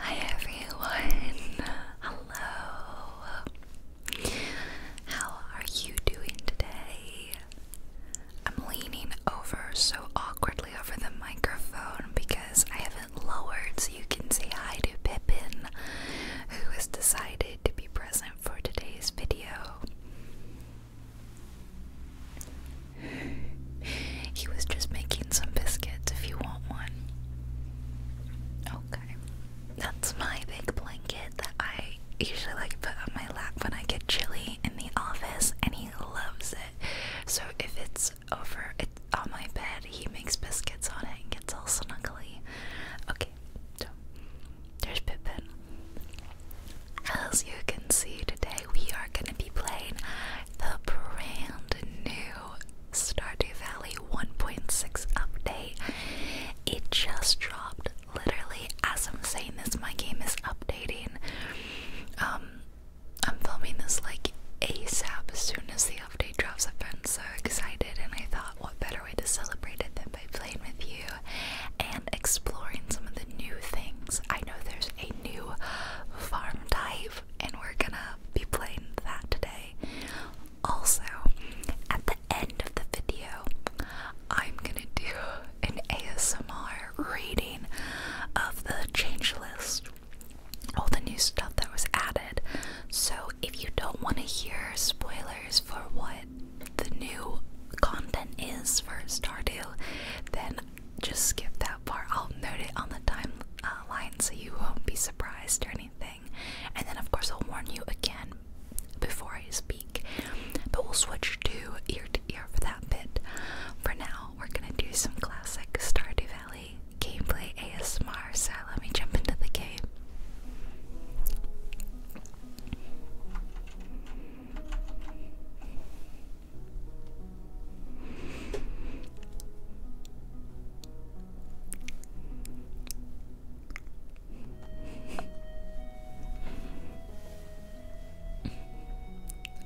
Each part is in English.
Hi everyone! Hello! How are you doing today? I'm leaning over so awkwardly over the microphone because I have it lowered so you can say hi to Pippin, who has decided to be present for today's video. he was just making some biscuits if you want one. Okay. That's my big blanket that I usually like put on my lap when I get chilly in the office and he loves it. So if it's over it's on my bed, he makes biscuits on it and gets all snuggly. Okay, so there's Pippen. As you can see today we are gonna be playing the brand new Stardew Valley 1.6 update. It just dropped literally as I'm saying this, my game is updating. Um, I'm filming this like ASAP as soon as the update drops. I've been so excited, and I thought, what better way to celebrate it than by playing with you and exploring some of the new things. I know there's a new farm type and we're gonna be playing that today. Also, at the end of the video, I'm gonna do an ASMR reading of the change list, all the new stuff that was added. So, if you don't want to hear spoilers for what the new content is for Stardew, then just skip that part. I'll note it on the timeline uh, so you won't be surprised or anything. And then, of course, I'll warn you again before I speak. But we'll switch to ear to ear for that bit. For now, we're gonna do some classic Stardew Valley gameplay ASMR. So let me jump into the game.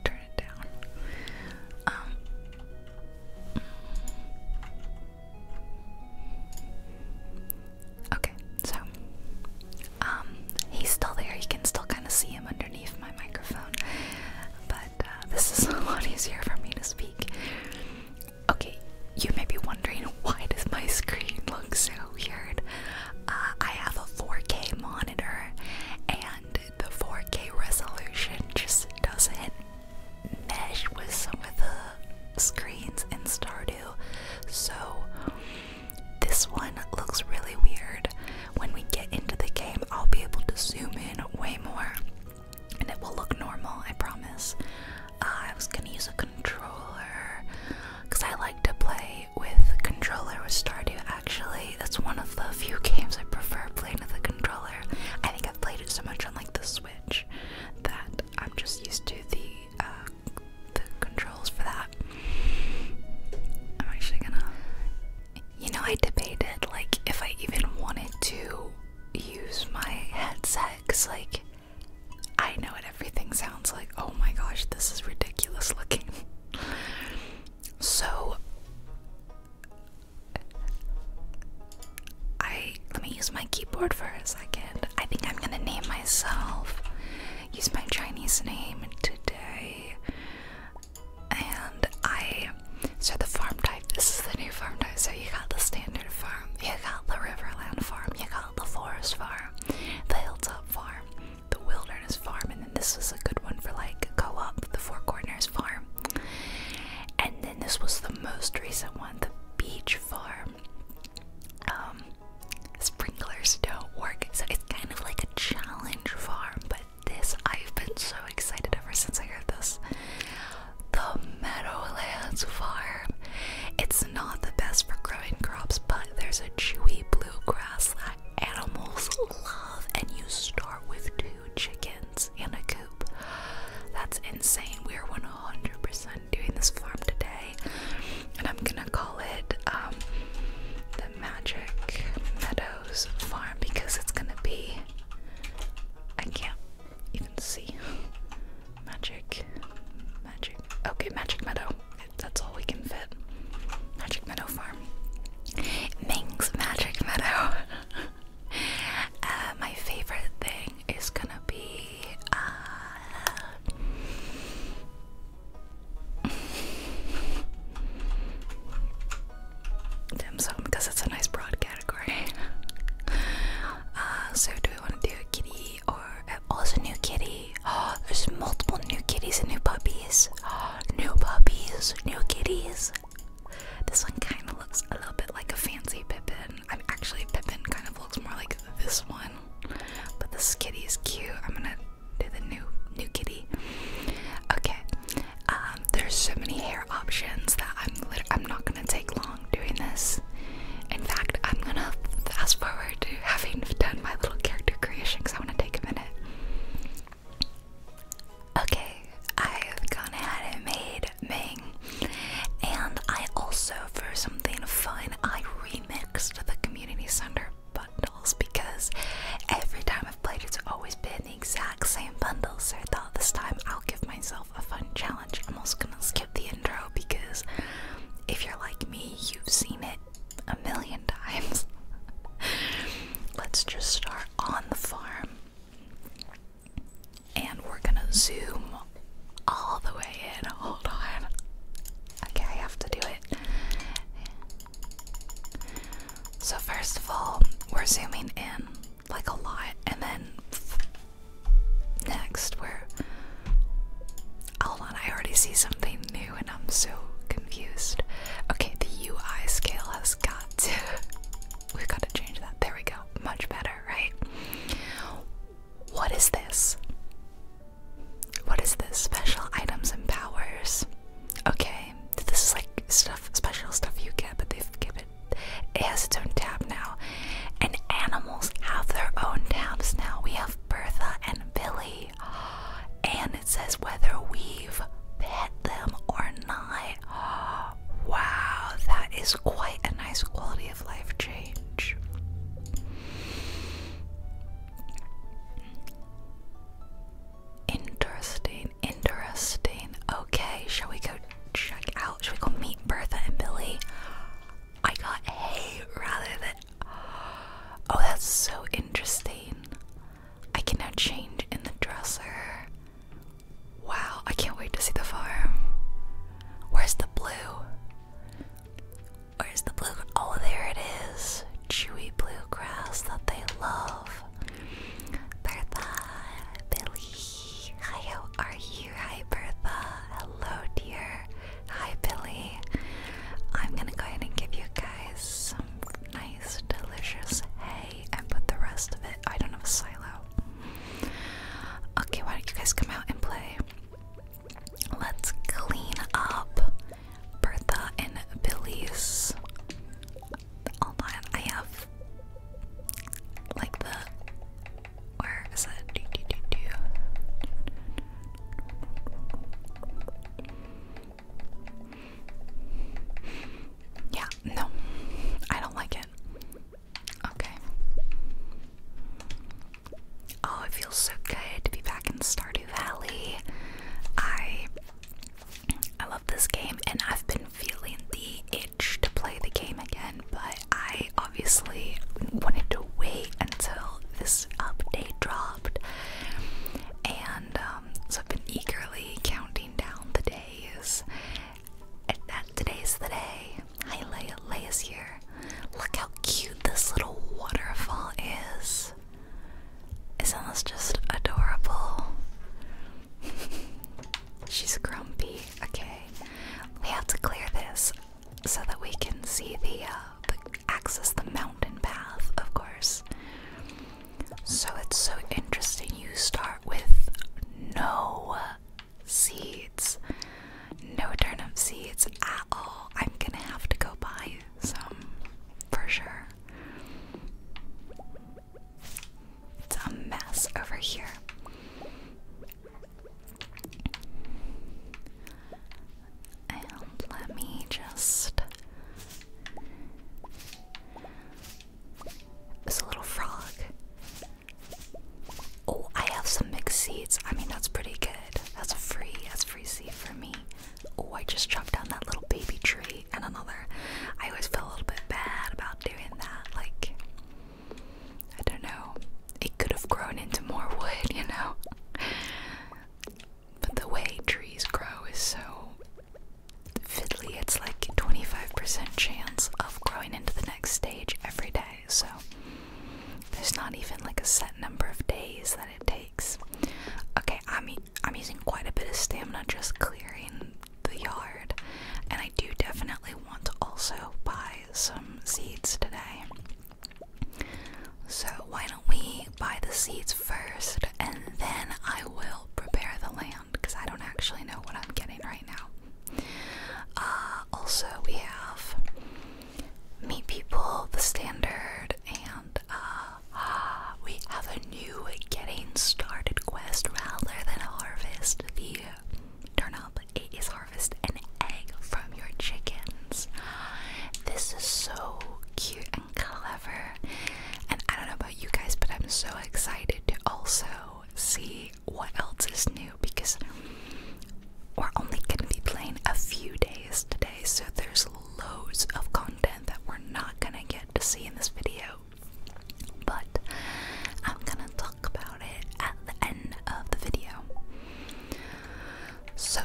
Turn it down. Um, okay, so um, he's still there. You can still kind of see him underneath my microphone, but uh, this is a lot easier for me to speak. Okay, you may be wondering why does my screen look so weird? Uh, I have a 4K monitor, and the 4K resolution just doesn't mesh with some of the screens in Stardew. So this one looks really weird when we get into the game, I'll be able to zoom in way more and it will look normal, I promise. Uh, I was gonna use a controller because I like to play with controller with Stardew actually. That's one of the few games I prefer playing with a controller. I think I've played it so much on like the Switch that I'm just used to the uh, the controls for that. I'm actually gonna you know, I debated like if I even wanted to use my headset because, like, I know what everything sounds like. Oh my gosh, this is ridiculous looking. so, I let me use my keyboard for a second. I think I'm gonna name myself, use my Chinese name today and I so the farm type this is the new farm type so you got the standard farm you got the riverland farm you got the forest farm the hilltop farm the wilderness farm and then this was a good one for like go up the four corners farm and then this was the most recent one the beach farm um, sprinklers don't work so it's kind of like a challenge farm but this I've been so excited ever since I heard this. The Meadowlands Farm. It's not the best for growing crops, but there's a chewy bluegrass that animals love, and you start with two chickens and a coop. That's insane. We are 100% doing this farm today, and I'm gonna call it um, the Magic Meadows Farm because it's gonna be I can't even see. Magic, magic. Okay, Magic Meadow. That's all we can fit. Magic Meadow Farm. Ming's Magic Meadow. Uh, my favorite thing is gonna be. Uh, dim because it's a nice broad category. Uh, so, do we want to do a kitty or uh, also a new kitty? Oh, there's multiple new kitties and new puppies. Oh, new puppies, new kitties. This one kind of looks a little bit like a fancy Pippin. I'm actually Pippin kind of looks more like this one, but this kitty is cute. I'm gonna do the new new kitty. Okay, um, there's so many hair options that I'm lit I'm not gonna take long doing this. In fact, I'm gonna fast forward to having done my little character creation because I want to take a minute. Okay, I've gone ahead and made Ming, and I also, for something fun, I remixed the community center bundles because every time I've played, it's always been the exact same bundle, so I thought this time I'll give myself a fun challenge. I'm also gonna skip the intro because if you're like me, you've seen it a million times. Let's just start on the farm and we're gonna zoom all the way in. Hold on. Okay, I have to do it. So, first of all, we're zooming in like a lot, and then next we're. hold on, I already see something new and I'm so confused. Okay, the UI scale has got to we've got to change that. There we go. Much better, right? What is this? What is this? Special items and powers. Okay. This is like stuff special stuff you get, but they've given it has its own tab now. And animals have their own tabs now. We have Bertha and Billy. And it says whether we've pet them or not. Wow, that is quite a nice quality of life change. Interesting. Interesting. Okay, shall we go check out? Shall we go meet Bertha and Billy? I got hay rather than. Oh, that's so interesting. I can now change in the dresser. Wow, I can't wait to see the farm. Where's the blue? Where's the blue? Oh, there it is. Chewy blue grass that they love. Bertha, Billy, hi, are you? Hi, Bertha. Hello, dear. Hi, Billy. I'm gonna go ahead and give you guys some nice, delicious hay and put the rest of it. I don't have a silo. Okay, why don't you guys come out and play? Let's clean up Bertha and Billy's online. I have like the where is it? Yeah, no, I don't like it. Okay. Oh, it feels so good to be back in Stardew Valley. I I love this game, and I've been feeling the itch to play the game again, but I obviously wanted to wait until this update dropped, and um, so I've been eagerly counting down the days. And that today's the day. Hi, Leia. Leia's here. Look how cute this little waterfall is. Isn't this just adorable? She's grumpy. Okay, we have to clear this so that we can see uh, the, access the mountain path, of course. So it's so interesting. You start with no seeds, no turnip seeds at all. I'm gonna have to go buy some for sure. It's a mess over here. And let me just. This little frog. Oh, I have some mixed seeds. I mean, that's pretty good. That's free. That's free seed for me. Oh, I just chopped down that little baby tree and another. I always feel a little bit bad about doing that. Like, I don't know, it could have grown into more wood, you know? But the way trees grow is so fiddly, it's like 25% chance of growing into the next stage every day, so there's not even like a set number of days that it takes. Okay, I'm I'm using quite a bit of stamina just clearing the yard, and I do definitely want to also buy some seeds today. So, why don't we buy the seeds first and then I will prepare the land because I don't actually know what I'm getting right now. Uh, also, we have Meet People, the standard, and uh, we have a new getting started quest rather than harvest the turnip. It is harvest an egg from your chickens. This is so cute and clever. And I don't know about you guys, but I'm so excited to also see what else is new because we're only going to be playing a few days today, so there's loads of content that we're not going to get to see in this video. But I'm gonna talk about it at the end of the video. So,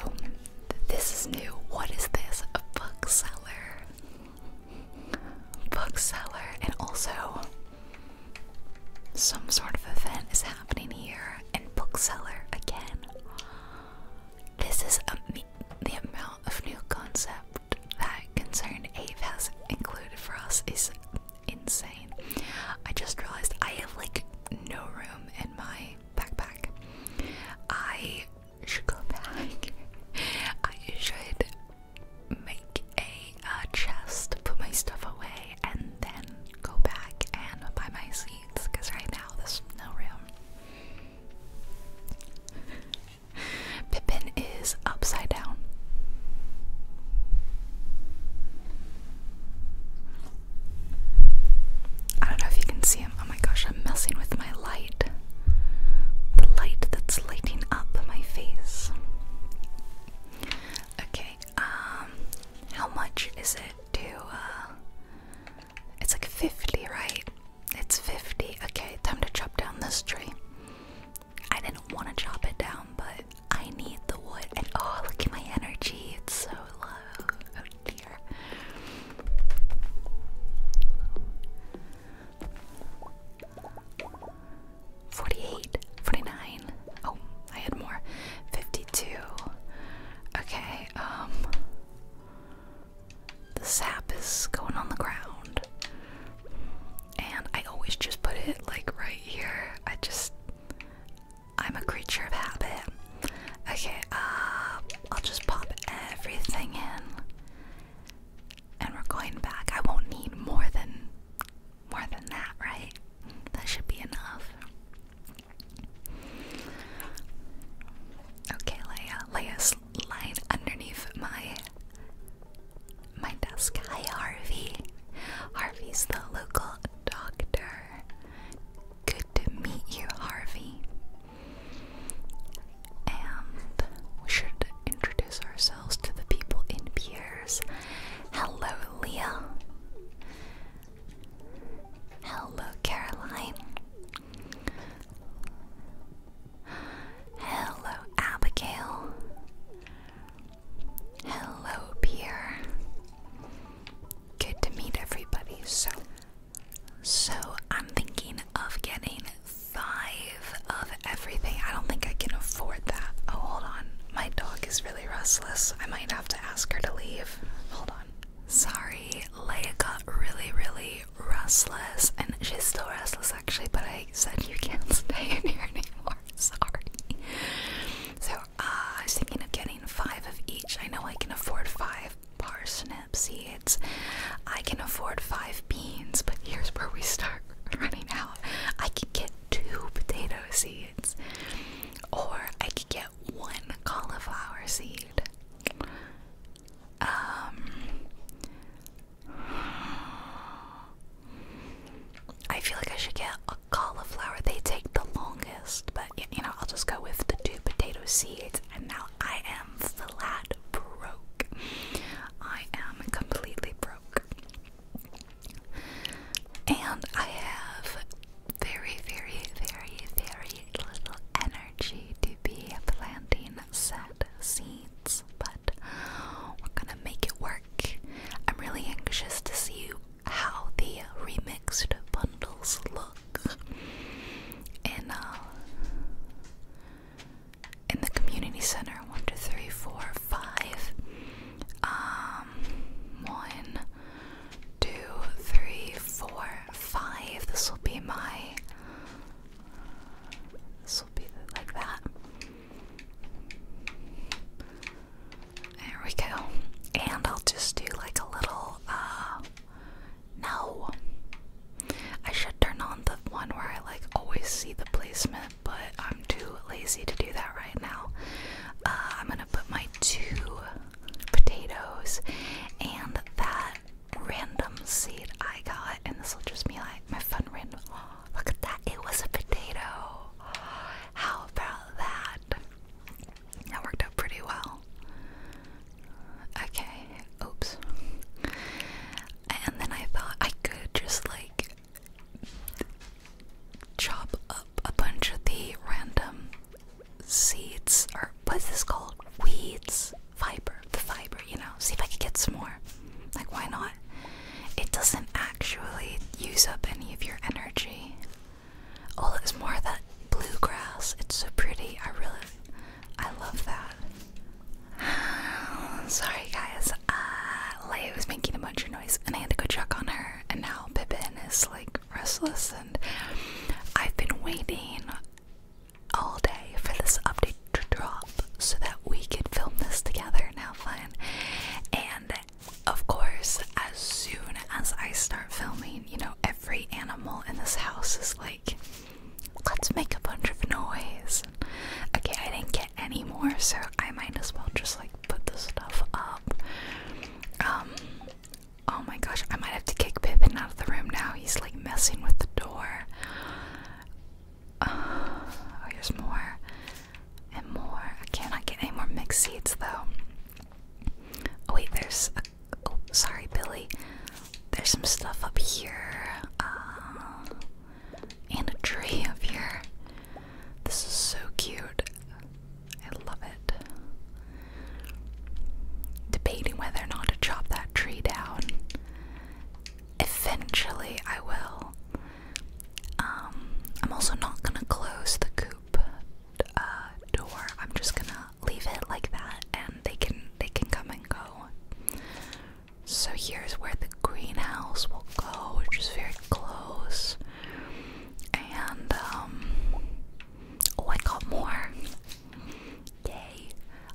this is new. What is this? A bookseller. Bookseller, and also some sort of event is happening here. in bookseller again. This is a, the amount of new concepts that concern Ape has included for us is insane. I just realized I have like no room in my backpack. I should go back. I should make a uh, chest, put my stuff away, and then go back and buy my seats because right now there's no room. Pippin is upside down. I don't know if you can see him. Oh my gosh, I'm messing with my light. The light that's lighting up my face. Okay, um, how much is it to, uh, it's like 50, right? It's 50. Okay, time to chop down this tree. I didn't want to chop it down, but I need the wood. And oh, look at my energy. It's so low. Oh dear. Forty-eight, forty-nine. Oh, I had more. Fifty-two. Okay, um the sap is going on the ground and I always just put it like right here. I just I'm a creature of habit. Okay, uh I'll just pop everything in. And we're going back. I won't need more than more than that, right? That should be enough. Okay, Leia. Leia's lying underneath my my desk. Hi, Harvey. Harvey's the local doctor. Good to meet you, Harvey. And we should introduce ourselves to the people in Piers. Hello, Leah. Hello, Caroline. Hello, Abigail. Hello, Pierre. Good to meet everybody. So, so I'm thinking of getting five of everything. I don't think I can afford that. Oh, hold on. My dog is really restless. I might have to ask her to leave. Hold on. Sorry, Leia got really, really restless, and she's still restless actually, but I said you can't stay in here anymore. Sorry. So uh, I was thinking of getting five of each. I know I can afford five parsnip seeds. I can afford five beans, but here's where we start running out. I could get two potato seeds, or I could get one cauliflower seed. Um, I feel like I should get a cauliflower. They take the longest, but you know, I'll just go with the two potato seeds. And now I am flat broke. I am completely broke. And I have very, very, very, very little energy to be planting sad seeds, but we're gonna make it work. I'm really anxious to see how the remixed bundles look in, uh, in the community center. One, two, three, four, five. Um, one, two, three, four, five. This will be my. This will be like that. There we go. And I'll just do like a little, uh, no. I should turn on the one where I like always see the placement, but I'm too lazy to do that right now. Uh, I'm gonna put my two potatoes and that random seed I got, and this will just be like my fun random. Look at that. It was a potato. How about that? That worked out pretty well. Okay. Oops. And then I thought I could just like chop up a bunch of the random seeds or what's this called? Weeds. Fiber. The fiber, you know. See if I could get some more. Like why not? it doesn't actually use up any of your energy. Oh, it's more that bluegrass. It's so pretty. I really, I love that. Sorry guys, uh, Leia was making a bunch of noise and I had to go check on her and now Pippin is like restless and I've been waiting all day for this update to drop so that we could film this together Now, fine. And of course, as soon as I start filming, you know, every animal in this house is like, let's make a bunch of noise. Okay, I didn't get any more, so I might as well just like put the stuff up. Um, oh my gosh, I might have to kick Pippin out of the room now. He's like messing with the door oh, there's more and more. I cannot get any more mixed seeds though. Oh wait, there's Oh, sorry, Billy. There's some stuff up here, uh, and a tree up here. This is so cute. I love it. Debating whether or not to chop that tree down. Eventually, I will. Um, I'm also not gonna close the coop uh, door. I'm just gonna leave it like that, and they can they can come and go. So here's where the greenhouse will go, which is very close. And um, oh, I got more. Yay!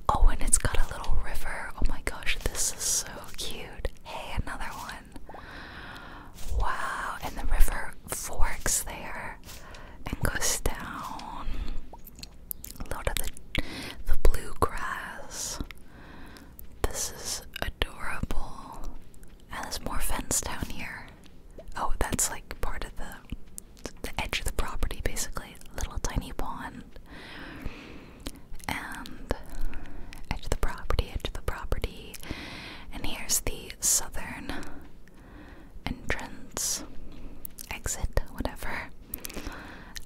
Oh, and it's got a little river. Oh my gosh, this is so cute. Hey, another one. Wow, and the river forks there and goes down. A lot the, the blue This is adorable. And there's more fence down here. Oh, that's like part of the the edge of the property, basically. Little tiny pond and edge of the property, edge of the property. And here's the southern entrance, exit, whatever.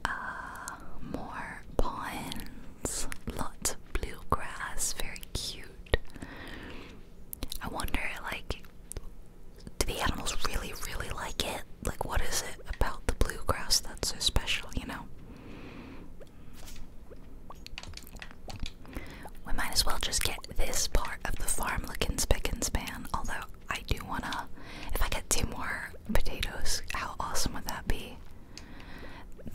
Uh, more ponds, lots of bluegrass, very cute. I wonder, like, do the animals really, really like it? Like, what is it about the bluegrass that's so special, you know? We might as well just get this part of the farm looking spick and span, although I do wanna. If I get two more potatoes, how awesome would that be?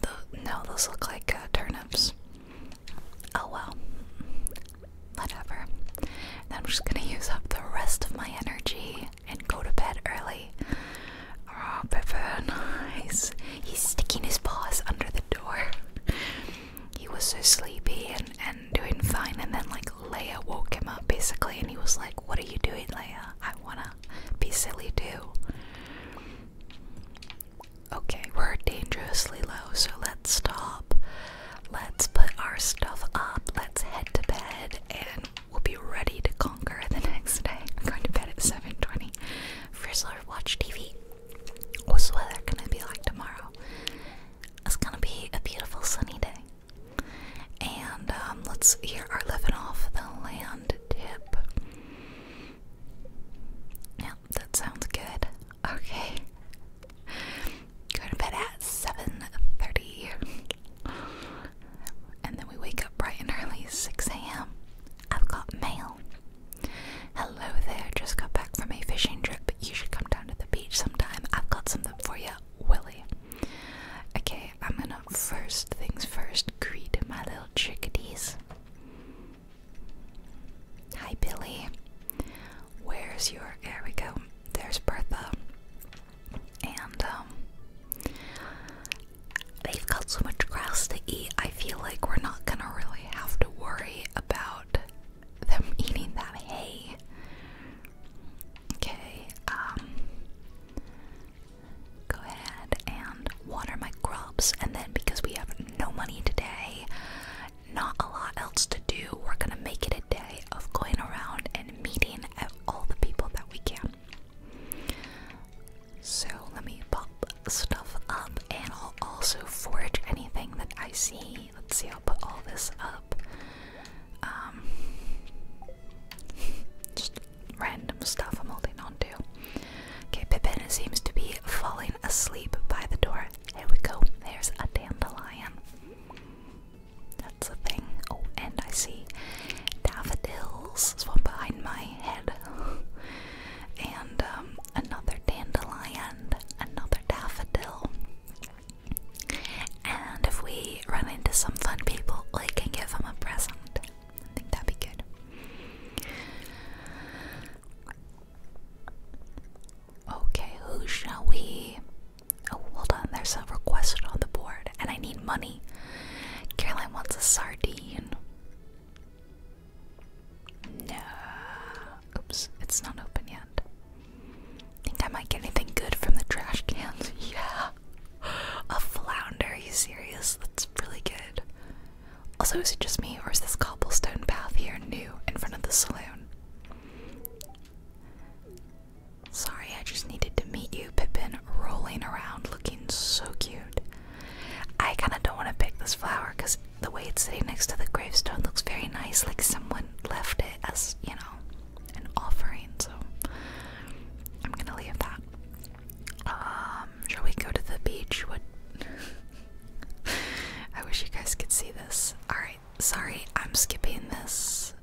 The, no, those look like uh, turnips. Oh well. Whatever. Then I'm just gonna use up the rest of my energy and go to bed early. Oh, Pippin. He's, he's sticking his paws under the door. He was so sleepy and, and doing fine, and then, like, Leia woke him up basically, and he was like, What are you doing, Leia? I wanna be silly too. Okay, we're dangerously low, so let's stop. Let's put our stuff up. Let's head to bed, and we'll be ready to conquer the next day. I'm going to bed at 7.20. Frisler, watch TV. What's the weather gonna be like tomorrow? It's gonna be a beautiful sunny day. And um, let's hear our living off the land tip. Yeah, that sounds good. Okay. going to bed at 7.30. And then we wake up bright and early, 6 a.m. I've got mail. Hello there, just got back from a fishing trip. You should come down to the beach sometime. I've got something for you, Willie. Okay, I'm gonna first things first greet my little chickadees. Hi, Billy. Where's your. There we go. There's Bertha. And, um they've got so much grass to eat, I feel like we're not gonna really have to worry about them eating that hay. Okay, um, go ahead and water my crops, and then because we have no money today, not a lot else to do, we're gonna make it a day of going around and meeting all the people that we can. So let me pop stuff up and I'll also forge anything that I see. Let's see, I'll put all this up. Um, just random stuff I'm holding on to. Okay, Pippin seems to be falling asleep by the door. Here we go. There's a dandelion. That's a thing. Oh, and I see daffodils. There's one behind my and um, another dandelion, another daffodil. And if we run into some fun people, we can give them a present. I think that'd be good. Okay, who shall we? Oh, hold on, there's a request on the board, and I need money. Caroline wants a sardine. No. Oops, it's not open yet. Think I might get anything good from the trash cans? yeah. A flounder, are you serious? That's really good. Also, is it just me or is this cobblestone path here new in front of the saloon? Sorry, I just needed to meet you, Pippin, rolling around looking so cute. I kind of don't want to pick this flower because the way it's sitting next to the gravestone looks very nice, like someone left it as, you know, an offering. So I'm going to leave that. Um, shall we go to the beach? What? I wish you guys could see this. Alright, sorry, I'm skipping this.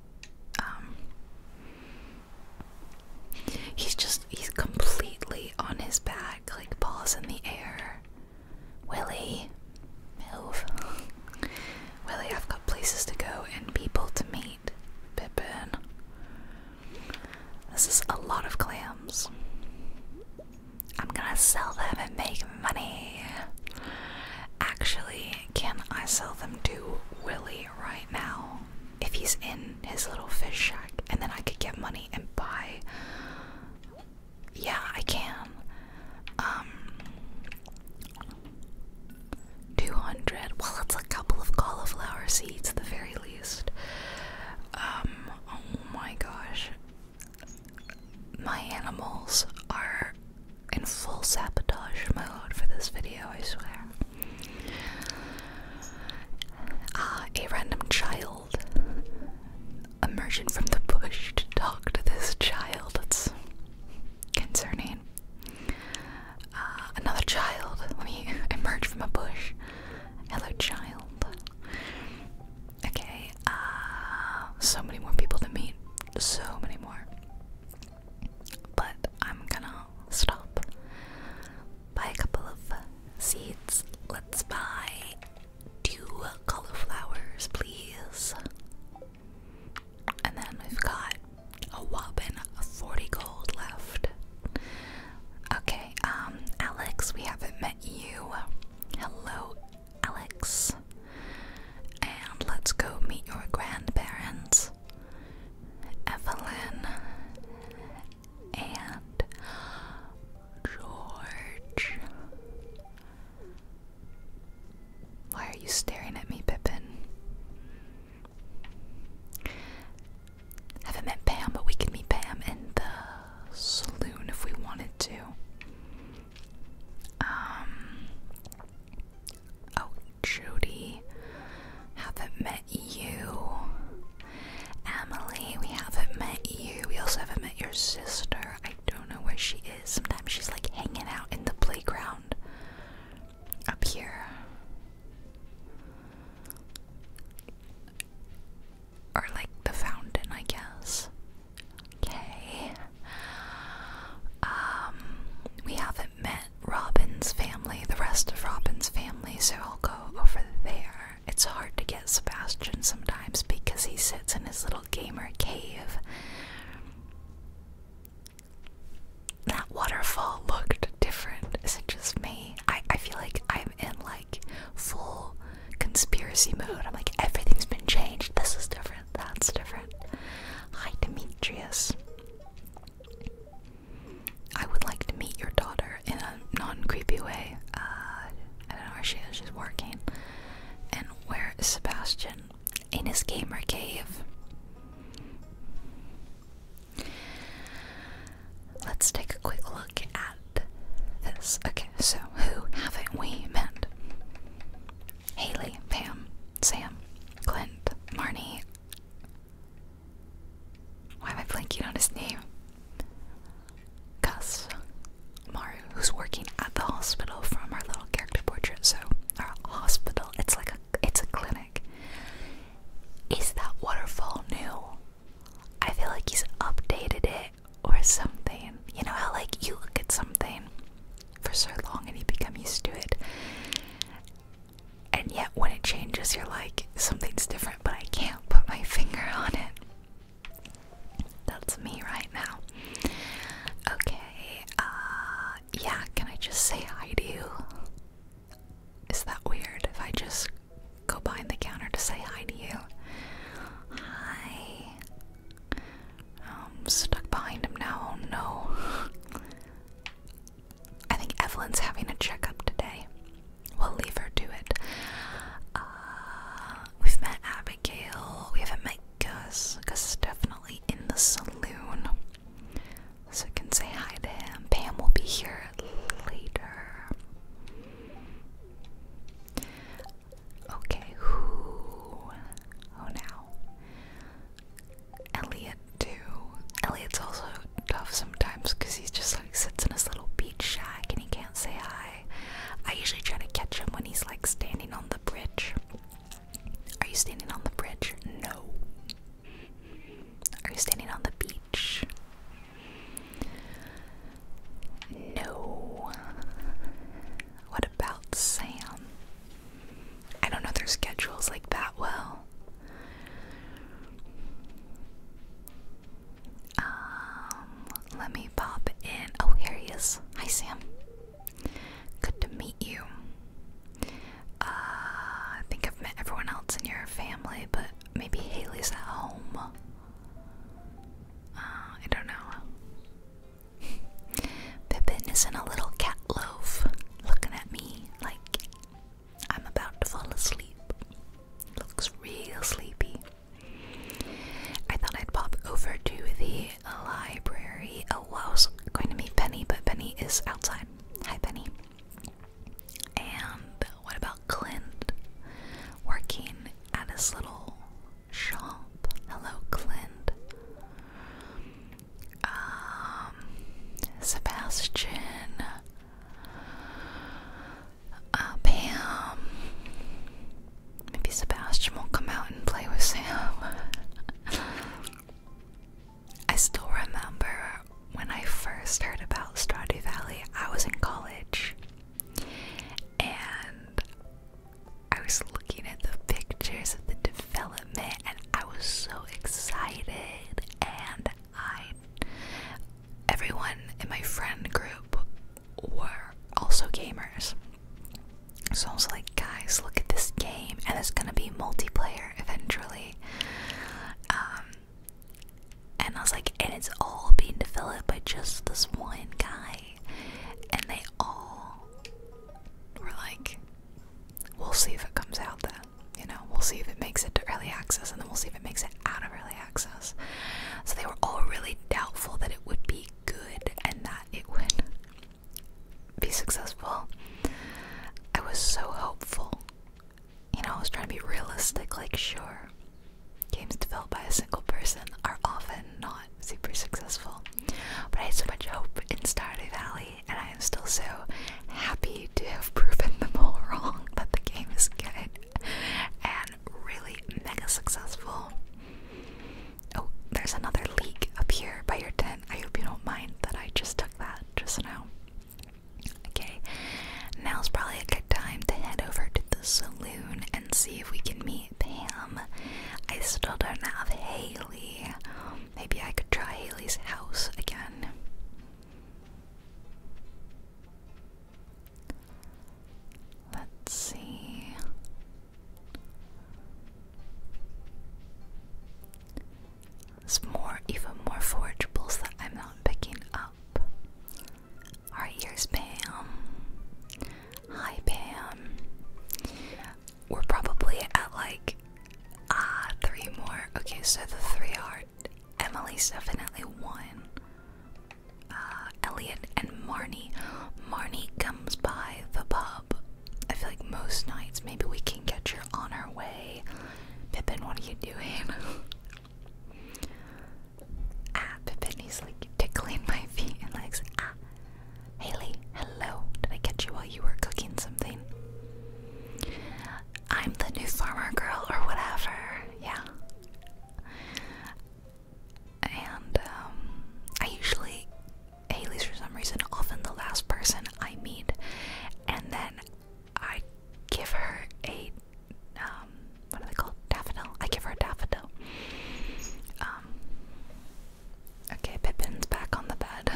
Um, He's just, he's completely on his back, like balls in the air. Willie, move. Willie, I've got places to go and people to meet. Pippin. This is a lot of clams. I'm gonna sell them and make money. Actually, can I sell them to Willie right now? if he's in his little fish shack, and then I could get money and buy. Yeah, I can. Um, 200. Well, it's a couple of cauliflower seeds at the very least. Um, oh my gosh. My animals are in full sabotage mode for this video, I swear. Ah, a random child emerging from the bush to talk to this child. It's concerning. Ah, another child. Let me emerge from a bush. Hello, child. Okay, ah, so many more people to meet. So many more. But I'm gonna stop buy a couple of seeds. Let's buy two cauliflowers, please. And then we've got a whopping 40 gold left. Okay, um, Alex, we haven't met you. Hello, Alex. And let's go meet your grandparents. Evelyn and George. Why are you staring at me, Pippin? Haven't met Pam, but we could meet Pam in the saloon if we wanted to. Um. Oh, Judy. Haven't met you. Emily, we haven't met you. We also haven't met your sister. I don't know where she is. Sometimes she's like hanging out in the playground up here. Or like the fountain, I guess. Okay. Um, we haven't met Robin's family, the rest of Robin's family, so I'll go over there. It's hard to get Sebastian sometimes because he sits in his little gamer cave. That waterfall looked different. Is it just me? I, I feel like I'm in like full conspiracy mode. I'm like, everything's been changed. This is different. That's different. Hi, Demetrius. I would like to meet your daughter in a non creepy way. Uh, I don't know where she is, she's working. And where is Sebastian? In his gamer cave. Let's take a quick look at this. Okay, so who haven't we met? Haley, Pam, Sam, Clint, Marnie, why am I blanking on his name? Gus Maru, who's working at the hospital from our little character portrait. So our hospital, it's like a it's a clinic. Is that waterfall new? I feel like he's updated it or something. You know how like you look at something for so long and you become used to it. And yet when it changes you're like something's different but I can't put my finger on it. That's me right now. Okay, uh, yeah, can I just say hi to you? Is that weird if I just go behind the counter to say hi to you? Hi. I'm stuck behind him now, oh no. I think Evelyn's having a checkup today. We'll leave her to it. Uh, we've met Abigail. We haven't met Gus. Gus is definitely in the saloon. So we can say hi to him. Pam will be here later. Okay, who? Oh, now. Elliot, too. Elliot's also tough sometimes because he just like sits in his little beach shack and he can't say hi. I usually try to catch him when he's like standing on the bridge. Are you standing on the bridge? No. Are you standing on the beach? No. What about Sam? I don't know their schedules like that well. Um, let me pop in. Oh, here he is. Hi, Sam. Good to meet you. Uh, I think I've met everyone else in your family, but maybe Haley's at home. Uh, I don't know. Pippin is in a little cat loaf, looking at me like, I'm about to fall asleep. Looks real sleepy. I thought I'd pop over to the library. Oh, well, I was going to meet Penny, but Penny is outside. Hi, Penny. And what about Clint working at his little shop? Hello, Clint. Um, Sebastian uh, Pam. Maybe Sebastian will come out and play with Sam. I still remember when I first heard about Strati Valley, I was in college and I was looking at the pictures of the development and I was so excited and I everyone in my friend group were also gamers. So I was like, guys, look at this game, and it's gonna be multiplayer eventually. Um, and I was like, and it's all being developed by just this one guy. And they all were like, we'll see if it comes out then. You know, we'll see if it makes it to early access, and then we'll see if it makes it out of early access." access. So they were all really doubtful that it would be good and that it would be successful. I was so hopeful. You know, I was trying to be realistic, like, sure, games developed by a single person are often not super successful. But I had so much hope in Stardew Valley, and I am still so happy to have proven them all wrong that the game is good. And really mega successful. Oh, there's another leak up here by your tent. I hope you don't mind that I just took that just now. Okay, now's probably a good time to head over to the saloon and see if we can meet Pam. I still don't have Haley. Maybe I could try Haley's house again. Let's see. There's more, even more forgeables that I'm not picking up. Our here's Pam. Hi, Pam. We're probably at like ah three more. Okay, so the three are Emily's definitely one. Uh, Elliot and Marnie. Marnie comes by the pub. I feel like most nights. Maybe we can get you on our way. Pippin, what are you doing? ah, Pippin, he's like tickling my feet and legs. Ah. Haley, hello. Did I catch you while you were cooking something? I'm the new farmer girl or whatever. Yeah. And um, I usually, Haley's for some reason, often the last person I meet, and then I give her a um, what are they called? Daffodil. I give her a daffodil. Um, okay, Pippin's back on the bed.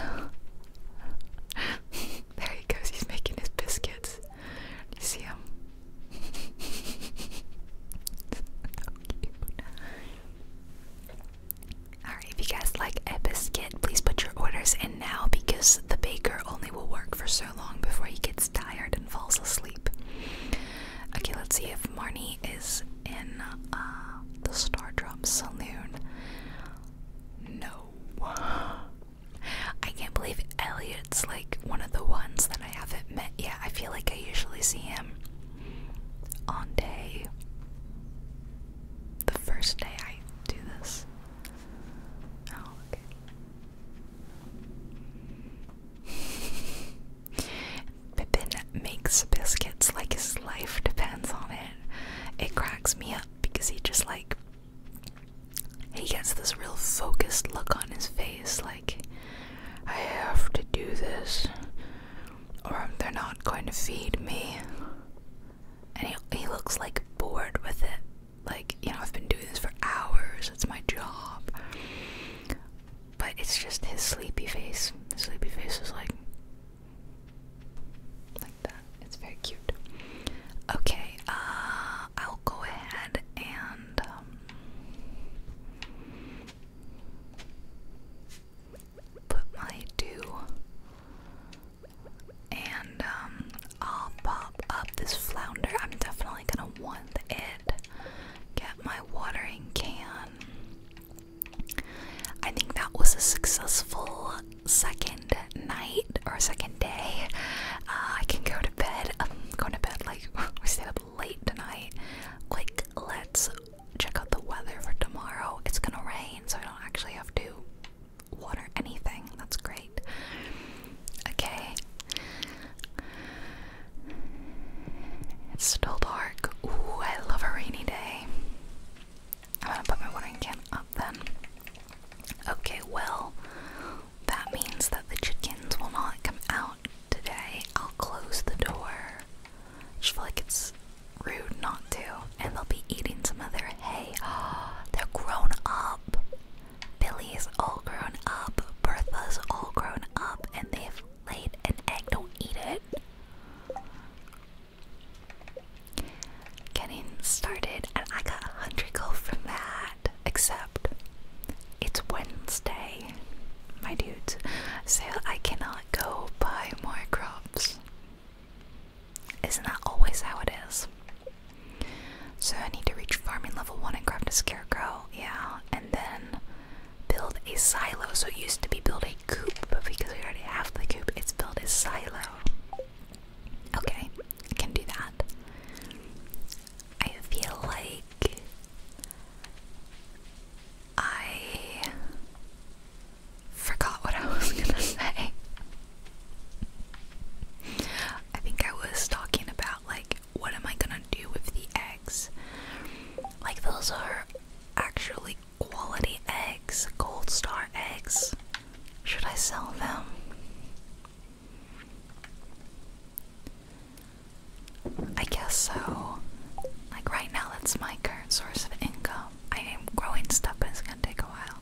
there he goes. He's making his biscuits you see him? Alright, if you guys like a please put your orders in now because the baker only will work for so long before he gets tired and falls asleep. Okay, let's see if Marnie is in uh, the Stardrop Saloon. No. I can't believe Elliot's like one of the ones that I haven't met yet. I feel like I usually see him on day the first day I do this. Oh, okay. Pippin makes biscuits like his life depends on it. It cracks me up because he just like he gets this real focused look on his face, like, I have to do this, or they're not going to feed me. And he, he looks like bored with it. Like, you know, I've been doing this for hours, it's my job. But it's just his sleepy face. His sleepy face is like, like that. It's very cute. Okay, uh, I'll go ahead and um, put my do, and um, I'll pop up this flounder. I'm definitely gonna want it. Get my watering can. I think that was a successful second night or second day. Uh, I can go to bed. going to bed like we stayed up late tonight. Quick, let's check out the weather for tomorrow. It's gonna rain, so I don't actually have to water anything. That's great. Okay. It's still dark. Ooh, I love a rainy day. I'm gonna put my watering can up then. Okay, well, that means that the chickens will not come out today. I'll close the door. I just feel like it's rude not to. And they'll be eating some of their hay. They're grown up. Billy's all grown up. Bertha's all grown up. And they've laid an egg. Don't eat it. Getting started, and I got a hundred gold from that except it's Wednesday, my dudes, so I cannot go buy more crops. Isn't that always how it is? So I need to reach farming level 1 and craft a scarecrow, yeah, and then build a silo. So it used to be build a coop, but because we already have the coop, it's built a silo. Okay, I can do that. I feel like I forgot what I was gonna say. I think I was talking about, like, what am I gonna do with the eggs? Like, those are actually quality eggs, gold star eggs. Should I sell them? I guess so. Like right now, that's my current source of income. I am growing stuff, but it's gonna take a while.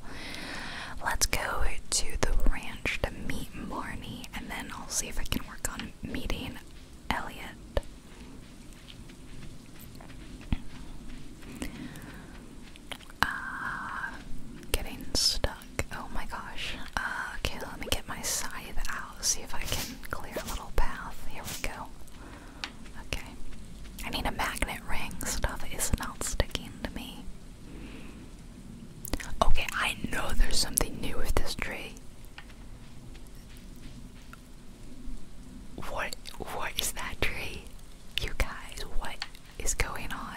Let's go to the ranch to meet Marnie, and then I'll see if I can work on meeting Elliot. Uh, getting stuff. Oh my gosh. Uh, okay, let me get my scythe out. See if I can clear a little path. Here we go. Okay. I need a magnet ring. Stuff is not sticking to me. Okay, I know there's something new with this tree. What? What is that tree? You guys, what is going on?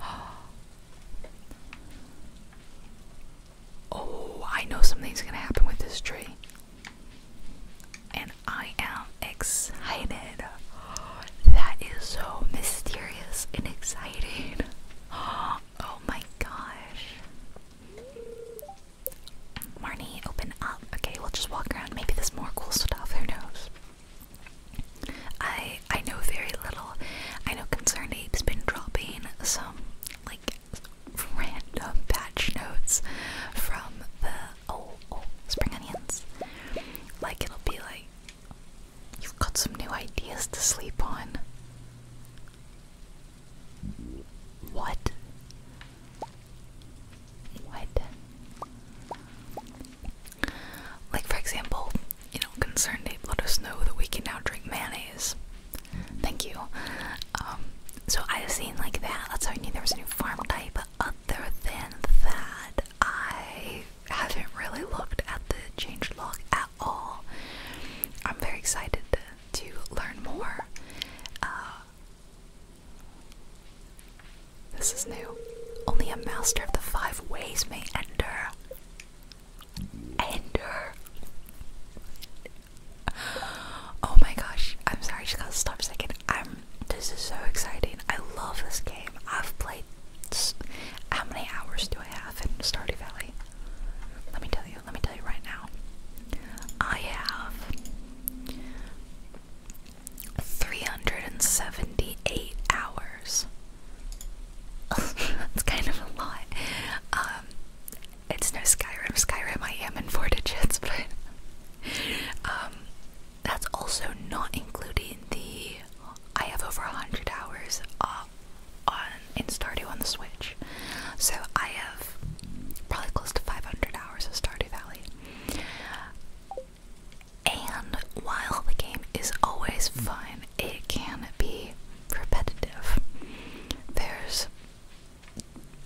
Oh, I know something's gonna happen with this tree. And I am excited. That is so mysterious and exciting. Oh my gosh. Marnie, open up. Okay, we'll just walk around. Maybe there's more cool stuff. Who knows? I I know very little. I know Concerned Ape's been dropping some like random patch notes from the oh oh spring onions. Like it'll be like you've got some new ideas to sleep on. What? What? Like, for example, you know, concerned they let us know that we can now drink mayonnaise. Thank you. Um, so I've seen like that. That's how I knew there was a new farm type. other than that, I haven't really looked at the change changelog at all. I'm very excited to learn more. Uh, this is new. Only a master of the five ways may enter. Ender. Oh my gosh, I'm sorry, I just gotta stop a second. I'm, this is so exciting. I love this game. I've played. How many hours do I have in Stardew Valley? Let me tell you, let me tell you right now. I have 378 hours. That's kind of a lot. Um, it's no Skyrim. Skyrim, I am in four digits, but um, that's also not including the. I have over a hundred hours uh, on in Stardew on the Switch, so I have probably close to 500 hours of Stardew Valley. And while the game is always fun, it can be repetitive. There's,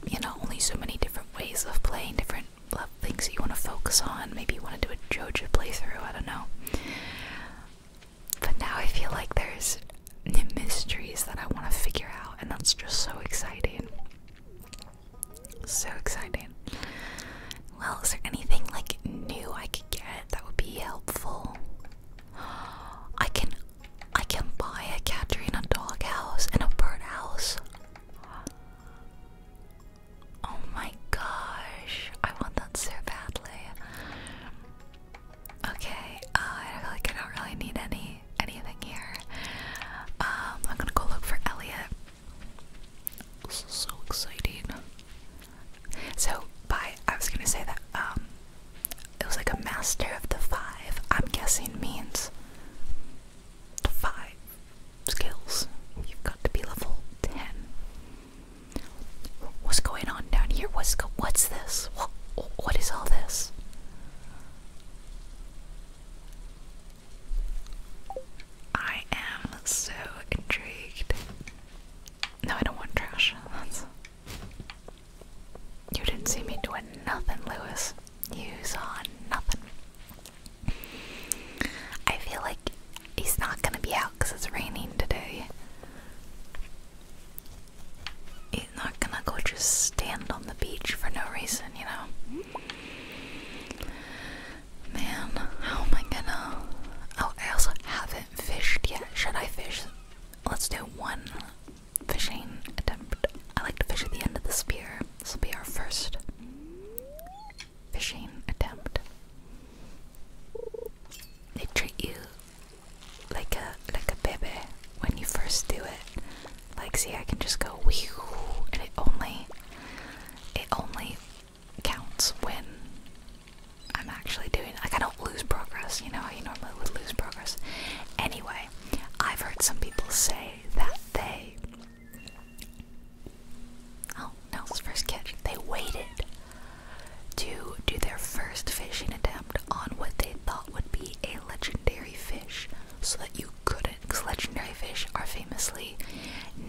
you know, only so many different ways of playing, different things that you want to focus on. Maybe you want to do a JoJo playthrough, I don't know. But now I feel like there's new mysteries that I want to figure out, and that's just so exciting. So exciting. Well, is there anything like new I could get that would be helpful? I can I can buy a Katerina dog house and a bird house. Oh my gosh, I want that so badly. Okay, uh, I feel like I don't really need any anything here. Um, I'm gonna go look for Elliot. This is so exciting. So by I was gonna say that um, it was like a master of the five, I'm guessing means the five skills. You've got to be level ten. What's going on down here? What's what's this? What what is all this? I am so intrigued. No, I don't want trash. You didn't see me doing nothing, Lewis. You saw nothing. I feel like he's not gonna be out because it's raining today. He's not gonna go just stand on the beach for no reason, you know? Man, how am I gonna. Oh, I also haven't fished yet. Should I fish Let's do one fishing attempt. I like to fish at the end of the spear. This will be our first fishing attempt. They treat you like a like a baby when you first do it. Like see I can just go whew and it only it only counts when I'm actually doing. Like, I don't lose progress, you know, you normally would lose progress. Anyway, I've heard some people say that they. Oh, no, it's first catch. They waited to do their first fishing attempt on what they thought would be a legendary fish so that you couldn't. Because legendary fish are famously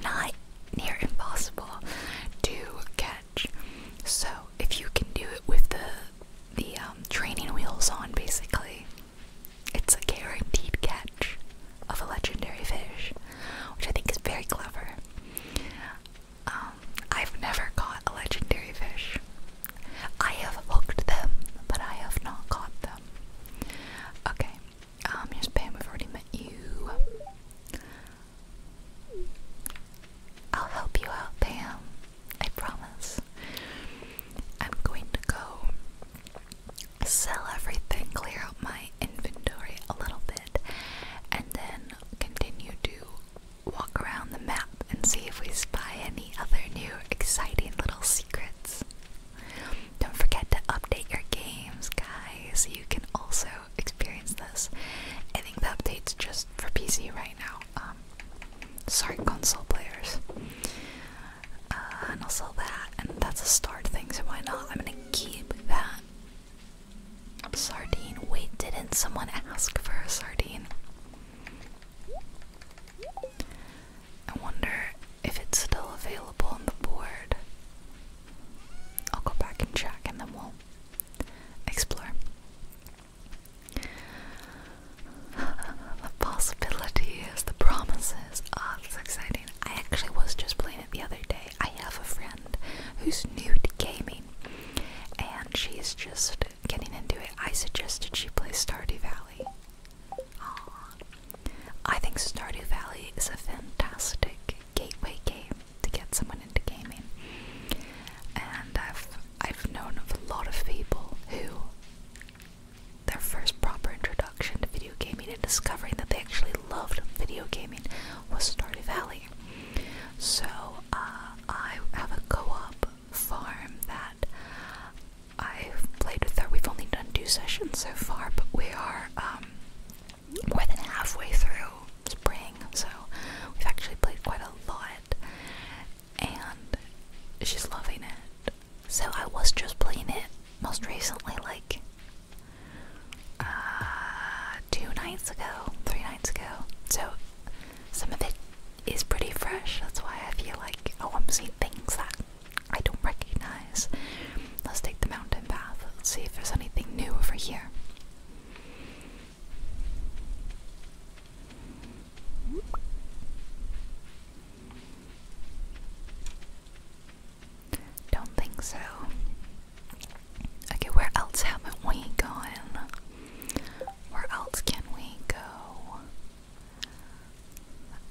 not near impossible to get so if you can do it with the the um, training wheels on, basically, it's a guaranteed catch of a legendary fish, which I think is very clever. Um, I've never caught a legendary fish. I have hooked them, but I have not caught them. Okay, um, here's Pam. We've already met you. I'll help you out, Pam. I promise. I'm going to go sell everything, clear out my inventory a little bit, and then continue to walk around the map and see if we spy any other new exciting little secrets. Don't forget to update your games, guys. You can also experience this. I think the update's just for PC right now. Um, sorry, console players. Uh, and also that, and that's a start thing, so why not? I'm gonna keep that. Sardine. Wait, didn't someone ask for a sardine? I wonder if it's still available on the board. I'll go back and check and then we'll explore the possibilities, the promises. Ah, oh, that's exciting. I actually was just playing it the other day. I have a friend who's new to gaming, and she's just getting into it. I suggested she play Stardew Valley. Aww. I think Stardew Valley is a fantastic gateway game to get someone into gaming. And I've I've known of a lot of people who their first proper introduction to video gaming and discovering that they actually loved video gaming was Stardew Valley. So uh, I have a co-op farm that I've played with her. We've only done two sessions so far, but we are um, more than halfway through spring, so we've actually played quite a lot and she's loving it. So I was just playing it most recently, like uh, two nights ago, three nights ago. So some of it is pretty fresh. That's why I feel like, oh, I'm seeing things that I don't recognize. Let's take the mountain path. Let's see if there's anything new over here. Don't think so. Okay, where else haven't we gone? Where else can we go?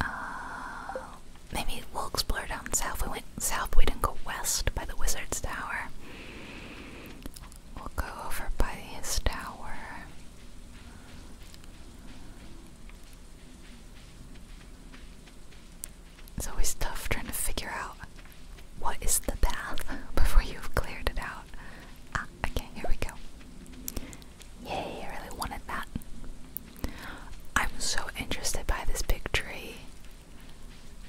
Uh, maybe we'll explore down south. We went south, we didn't go west by the Wizard's Tower. We'll go over by his tower. It's always tough trying to figure out what is the path before you've cleared it out. Ah, okay, here we go. Yay, I really wanted that. I'm so interested by this big tree.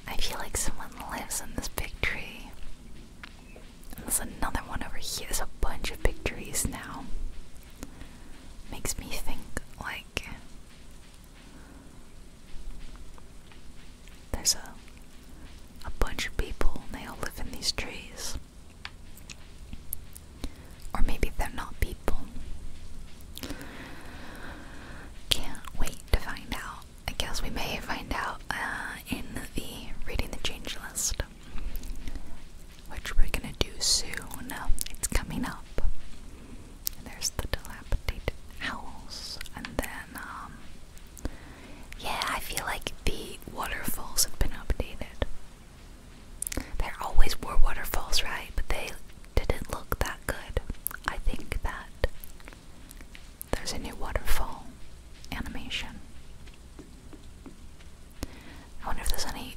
I feel like someone lives in this big tree. There's another one over here. There's a bunch of big trees now. Makes me think like there's a a bunch of people and they all live in these trees. Or maybe they're not people. Can't wait to find out. I guess we may find out uh, in the reading the change list, which we're gonna do soon. It's coming up. There's the dilapidated owls, and then um, yeah, I feel like the waterfalls have been updated. There always were waterfalls, right? But they didn't look that good. I think that there's a new waterfall animation. I wonder if there's any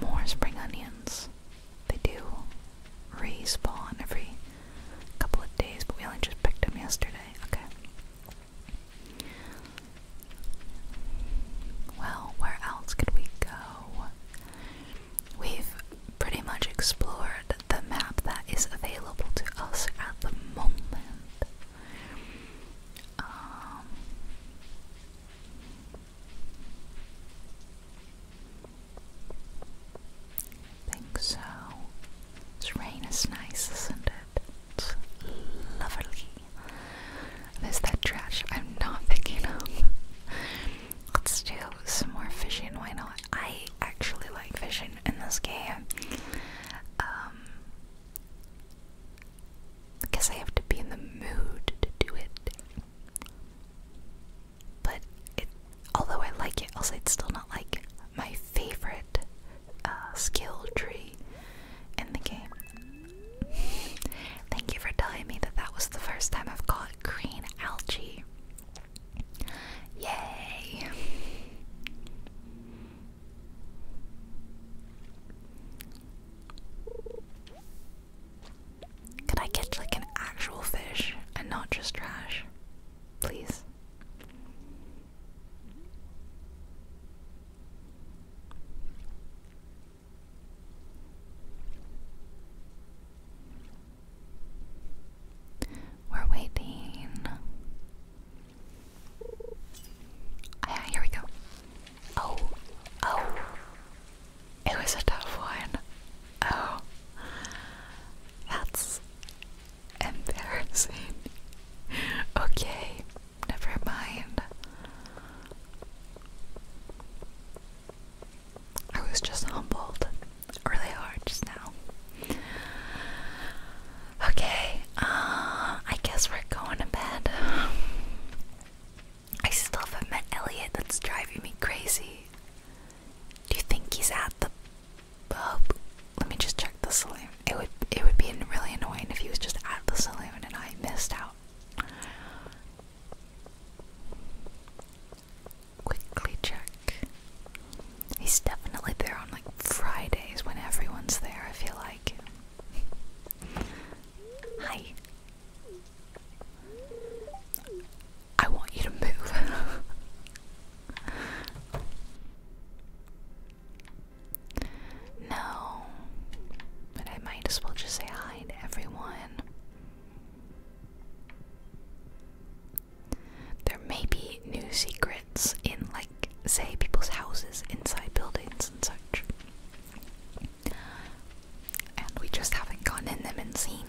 more spring onions. They do respawn every couple of days, but we only just picked them yesterday. Okay. Well, where else could we go? We've pretty much explored the map that is available to us at the moment. Um, think so. This rain is nice, isn't it? It's lovely. There's that trash I'm not picking up. Let's do some more fishing, why not? I actually like fishing in this game. because um, I have to be in the mood to do it. But it, although I like it, also it's still not like my favorite uh, skill tree in the game. Thank you for telling me that that was the first time I've caught green algae. Yay! Could I catch like an actual fish and not just trash? Please. We're waiting. Ah, here we go. Oh, oh. It was a tough one. Oh. That's embarrassing. okay, never mind. I was just humbled really hard just now. Okay, uh, I guess we're going to bed. I still haven't met Elliot, that's driving me crazy. Do you think he's at the pub? Let me just check the saloon. It would it would be really annoying if he was just at the saloon and I missed out. Quickly check. He's definitely there on like Fridays when everyone's there, I feel like. Hi. I want you to move. no. But I might as well just say hi to everyone. There may be new secrets in, like, say, people's houses, inside buildings, and such. And we just haven't gone in them and seen.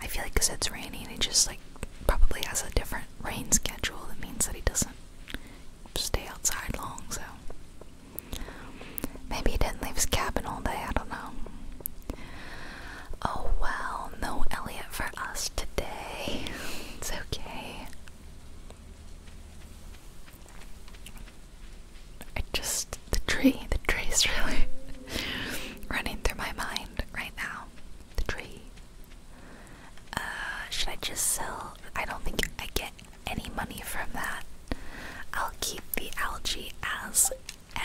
I feel like because it's raining, it just, like, probably has a different rain schedule that means that he doesn't stay outside long, so. Maybe he didn't leave his cabin all day, I don't know. Oh well, no Elliot for us today. It's okay. I just the tree, the tree's really running through my mind right now. The tree. Uh, should I just sell? I don't think I get any money from that. I'll keep the algae as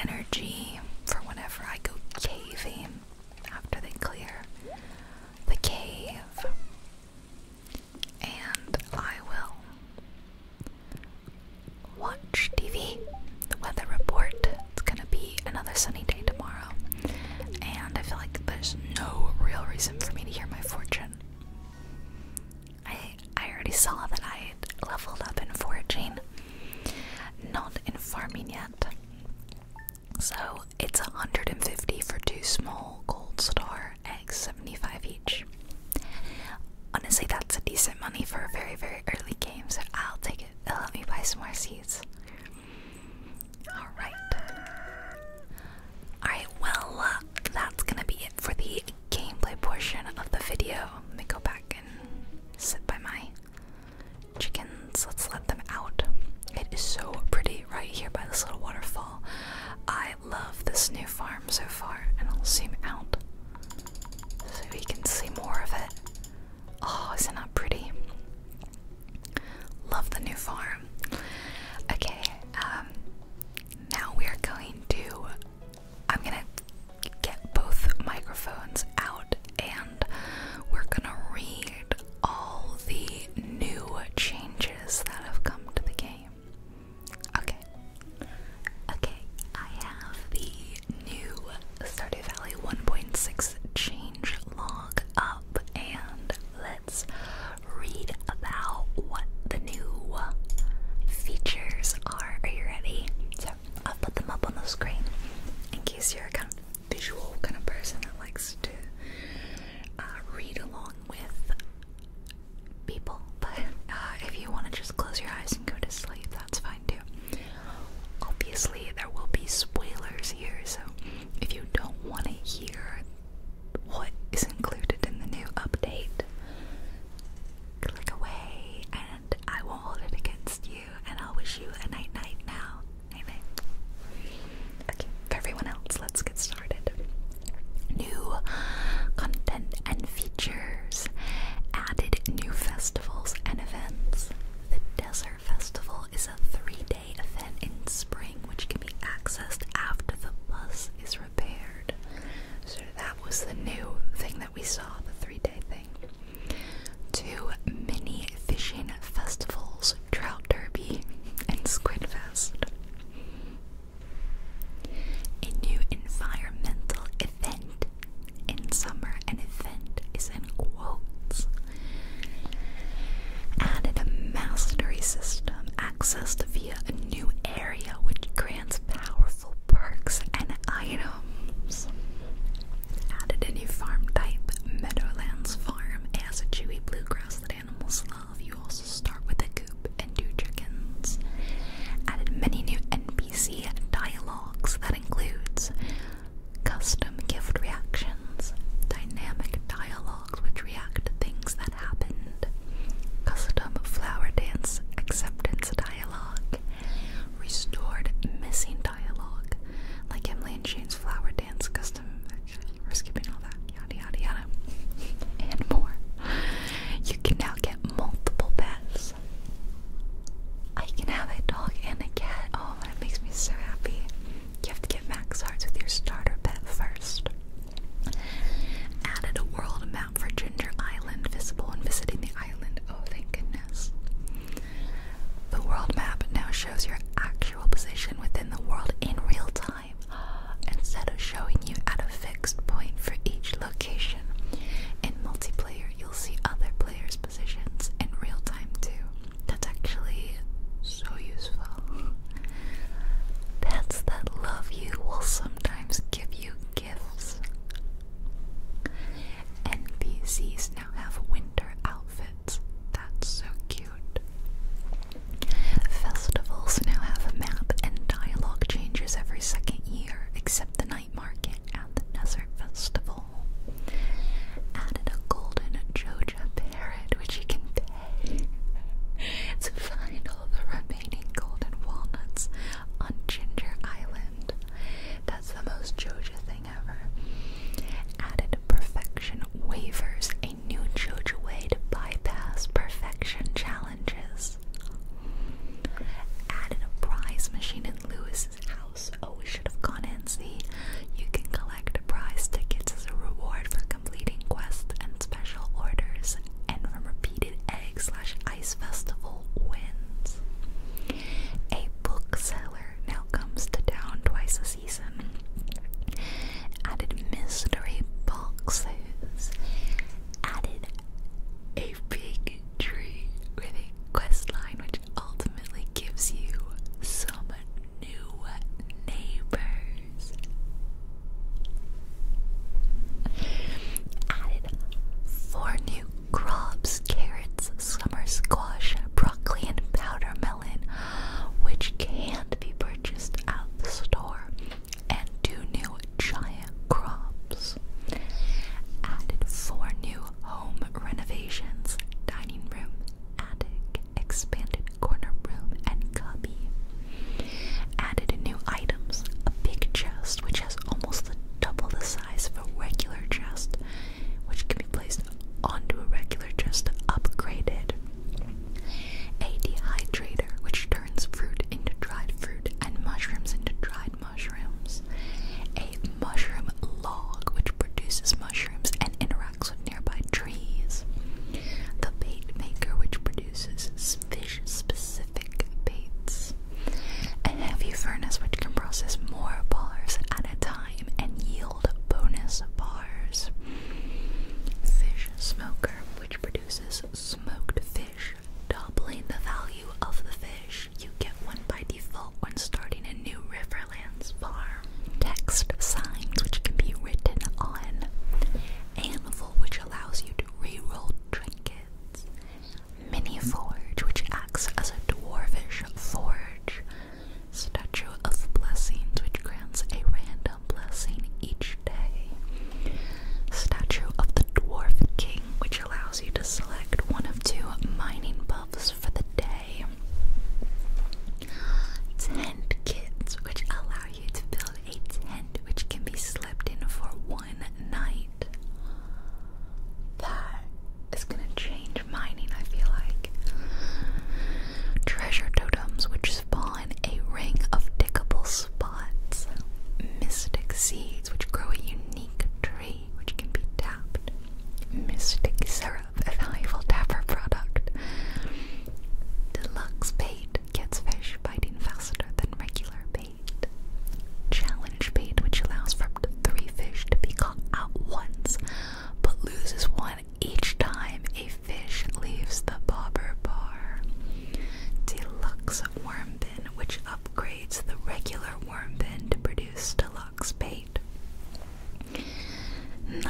energy for whenever I go caving after they clear the cave. And I will watch TV, the weather report. It's gonna be another sunny day tomorrow. And I feel like there's no real reason for me to hear my fortune. I I already saw that I leveled up in foraging. Not in farming yet. So it's 150 for two small gold star eggs, 75 each. Honestly, that's a decent money for a very, very early game, so I'll take it. it will let me buy some more seeds. Alright. Alright, well, uh, that's gonna be it for the gameplay portion of the video. Let me go back and sit by my chickens. Let's let them out. It is so pretty right here by this little waterfall. I love this new farm so far, and I'll zoom out so we can see more of it. Oh, is not that pretty? Love the new farm. Okay, um, now we are going to. I'm gonna get both microphones out and we're gonna read all the new changes that have come to the game. Okay. Okay, I have the new Stardew Valley 1.6 change log up, and let's read about what the new features are. Are you ready? So i put them up on the screen in case you're confused visual kind of person that likes to uh, read along with people, but uh, if you want to just close your eyes and go to sleep, that's fine too. Obviously, there will be spoilers here, so if you don't want to hear what is included in the new update, click away and I won't hold it against you, and I'll wish you a night night now. Okay, for everyone else, let's get started. New content and features, added new festivals and events. The Desert Festival is a three day event in spring which can be accessed after the bus is repaired. So that was the new thing that we saw, the three day thing. Two mini fishing festivals Trout Derby and Squidfest. A new environmental event in summer, an event is in quotes. Added a mastery system accessed via a new area which grants powerful perks and items added a new farm type, Meadowlands Farm. It has a chewy bluegrass that animals love. You also start with a coop and two chickens. Added many new NPC dialogues that includes custom gift reactions, dynamic dialogues which react to things that happened, custom flower dance acceptance dialogue, restored missing dialogue, like Emily and Jane's flower dance. We're skipping all that. Yada yada yada. And more. You can now get multiple pets. I can have a dog and a cat. Oh, that makes me so happy. You have to get max hearts with your starter pet first. Added a world map for Ginger Island, visible when visiting the island. Oh, thank goodness. The world map now shows your actual position within the world in real time instead of showing you at a fixed point for each location. In multiplayer, you'll see other players' positions in real time too. That's actually so useful. Pets that love you will sometimes give you gifts. NPCs now have winter outfits. That's so cute. Festivals now have a map and dialogue changes every second year, except the night market and the desert festival. Added a golden Joja parrot, which you can pay to find all the remaining golden walnuts on Ginger Island. That's the most Joja Added perfection waivers, a new JoJo way to bypass perfection challenges. Added a prize machine in Lewis's house. Oh, we should have gone and see. You can collect prize tickets as a reward for completing quests and special orders, and from repeated egg slash ice festival wins. A bookseller now comes to town twice a year. Added mystery boxes. Added a big tree with a quest line, which ultimately gives you some new neighbors. Added four new crops carrots, summer squash, broccoli, and powder melon which can be purchased at the store, and two new giant crops. Added four new home renovations dining room, attic, expanded corner room, and cubby. Added new items a big chest, which has almost the double the size of a regular chest, which can be placed onto a regular, just upgraded. A dehydrator, which turns fruit into dried fruit and mushrooms into dried mushrooms. A mushroom log, which produces mushrooms and interacts with nearby trees. The bait maker, which produces fish specific baits. A heavy furnace, which can process more bars at a time and yield bonus bars. Fish smoker, which produces smoked fish, doubling the value of the fish. You get one by default when starting a new Riverlands farm. Text signs, which can be written on. Anvil, which allows you to reroll trinkets. Mini forge, which acts as a dwarfish forge. Statue of Blessings, which grants a random blessing each day. Statue of the Dwarf King, which allows you to select one of two mining buffs for the day. Tent kits, which allow you to build a tent which can be slept in for one night. That is gonna change mining, I feel like. Treasure totems which spawn a ring of diggable spots. Mystic seeds which grow a unique tree which can be tapped. Mystic syrup, a valuable tapper product. Deluxe bait gets fish biting faster than regular bait. Challenge bait which allows for three fish to be caught at once but loses one each time a fish leaves the bobber bar. Deluxe worm bin, which upgrades the regular worm bin to produce deluxe bait. 19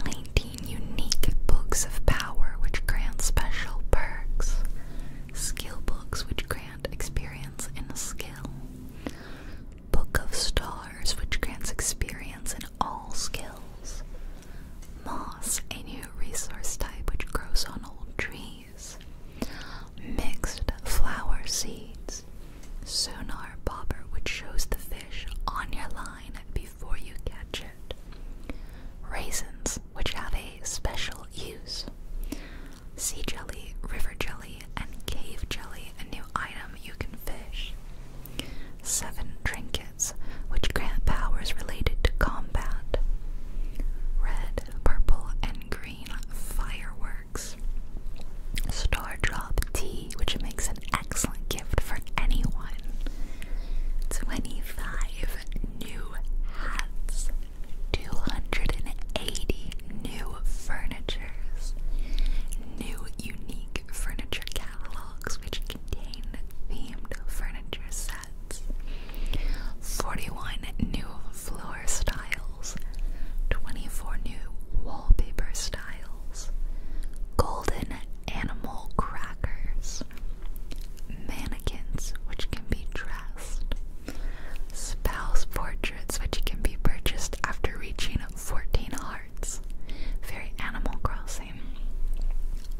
unique books of power, which grant special perks. Skill books, which grant experience in a skill. Book of stars, which grants experience and all skills. Moss, a new resource type which grows on old trees. Mixed flower seeds. Sonar bobber, which shows the fish on your line before you catch it. Raisins, which have a special use. Sea jelly, river jelly, and cave jelly, a new item you can fish. Seven trinkets which grant powers related to combat. Red, purple, and green fireworks. Star drop tea, which makes an excellent gift for anyone. 25 new hats. 280 new furnitures. New unique furniture catalogs which contain themed furniture sets, 41 new floor styles, 24 new wallpaper styles, golden animal crackers, mannequins which can be dressed, spells portraits which can be purchased after reaching 14 hearts. Very Animal Crossing.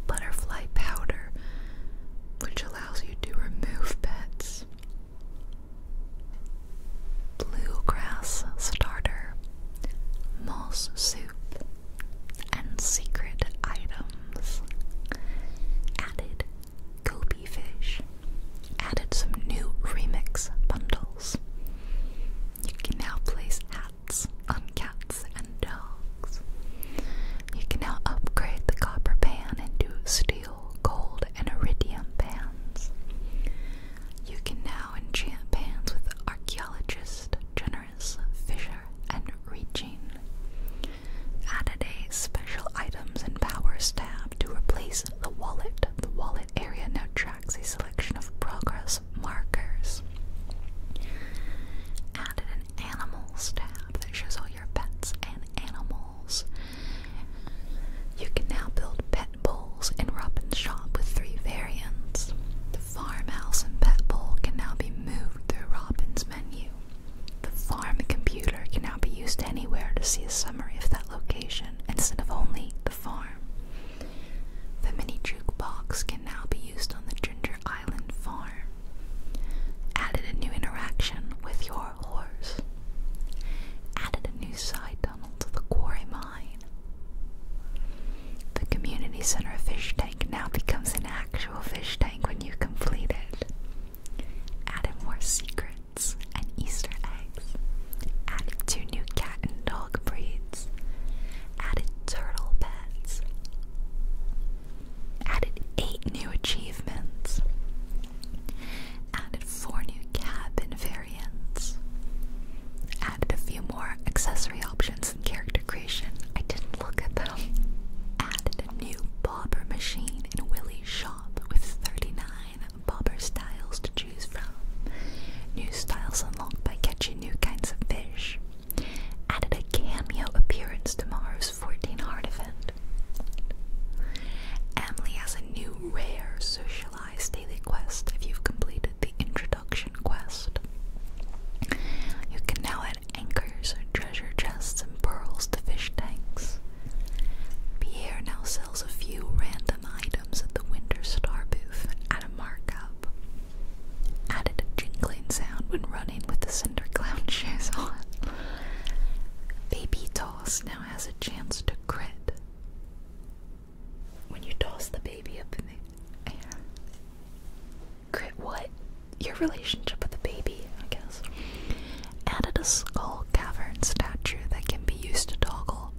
Butterfly powder, which allows you to remove pets. Bluegrass starter, moss soup, and secret items. Added goby fish. Added some new remix bundles. You can now place on cats and dogs. You can now upgrade the copper pan into steel, gold, and iridium pans. You can now enchant pans with archaeologist, generous, fisher, and Regine. Added a special items and powers tab to replace the wallet. The wallet area now tracks a selection of progress markers. Added an animals tab that shows all your pets and animals. You can now build pet bowls in Robin's shop with three variants. The farmhouse and pet bowl can now be moved through Robin's menu. The farm computer can now be used anywhere to see a summary of that location instead of only the farm. The mini jukebox can now be used on the Ginger Island farm. Added a new interaction with your horse. Added a new side tunnel to the quarry mine. The community center fish tank now becomes an actual fish tank when you complete it. Added more secrets and Easter eggs. Added two new cat and dog breeds added turtle pets, added eight new achievements, added four new cabin variants, added a few more accessory options in character creation. I didn't look at them. Added a new bobber machine in Willie's shop with 39 bobber styles to choose from. New styles unlocked by catching new kinds of fish added a cameo appearance to Mars 14 Heart event. Emily has a new rare socialized daily quest if you've completed the introduction quest. You can now add anchors treasure chests and pearls to fish tanks. Pierre now sells a few random items at the Winter Star booth at a markup added a jingling sound when running with the Cinder Clown shoes on. Baby Toss now has a chance to grit. when you toss the baby up in the air. grit what? Your relationship with the baby, I guess. Added a skull cavern statue that can be used to toggle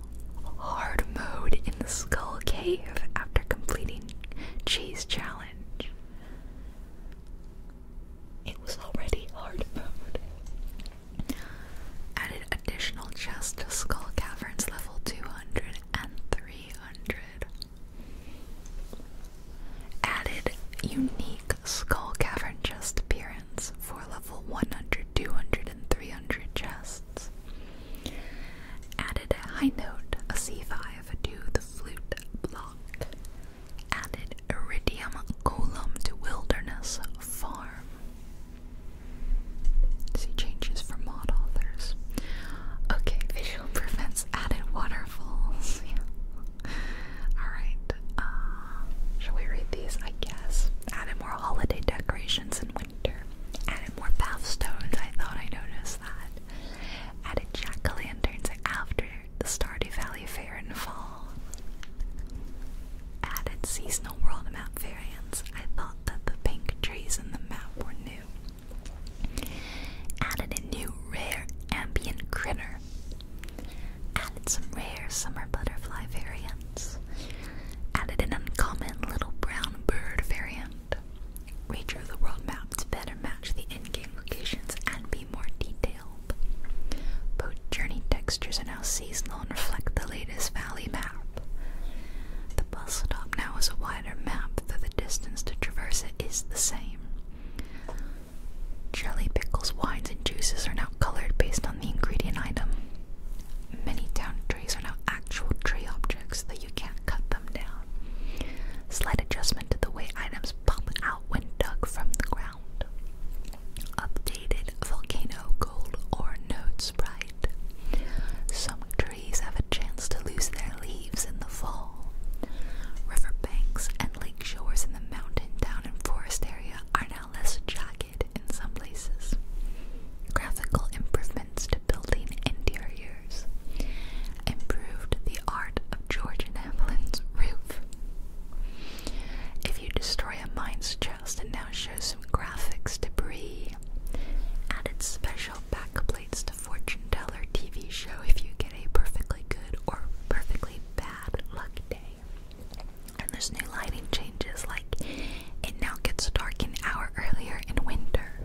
hard mode in the skull cave after completing cheese challenge. It was already hard mode. Added additional chests to Skull Caverns level 200 and 300. Added unique Skull Cavern chest appearance for level 100, 200, and 300 chests. Added high note, a C5, to the flute block. Added iridium colum to wilderness farm. See changes for mod authors. Okay, visual improvements added waterfalls. Yeah. Alright. Uh, shall we read these? I guess. Added more holiday decorations and Added more bath stones, I thought I noticed that. Added jack-o'-lanterns after the Stardew Valley Fair in fall. Added seasonal world map variants, I thought that the pink trees in the map were new. Added a new rare ambient grinner. Added some rare summer butterfly variants. Added an uncommon little brown bird variant land. Redrew the world map better match the in-game locations and be more detailed. Both journey textures are now seasonal and reflect the latest valley map. The bus stop now has a wider map, though the distance to traverse it is the same. Jelly pickles, wines, and juices are now colored based on the ingredient item. Many town trees are now actual tree objects, that you can't cut them down. Slight adjustment to the way items pop out when dug from the ground. Updated volcano gold or node sprite. Some trees have a chance to lose their leaves in the fall. Riverbanks and lake shores in the mountain, down and forest area are now less jagged in some places. Graphical improvement to building interiors, improved the art of Georgian Evelyn's roof. If you destroy a mine's chest and now show some graphics debris, added special backplates to fortune teller TV show if you get a perfectly good or perfectly bad luck day. And there's new lighting changes like it now gets dark an hour earlier in winter.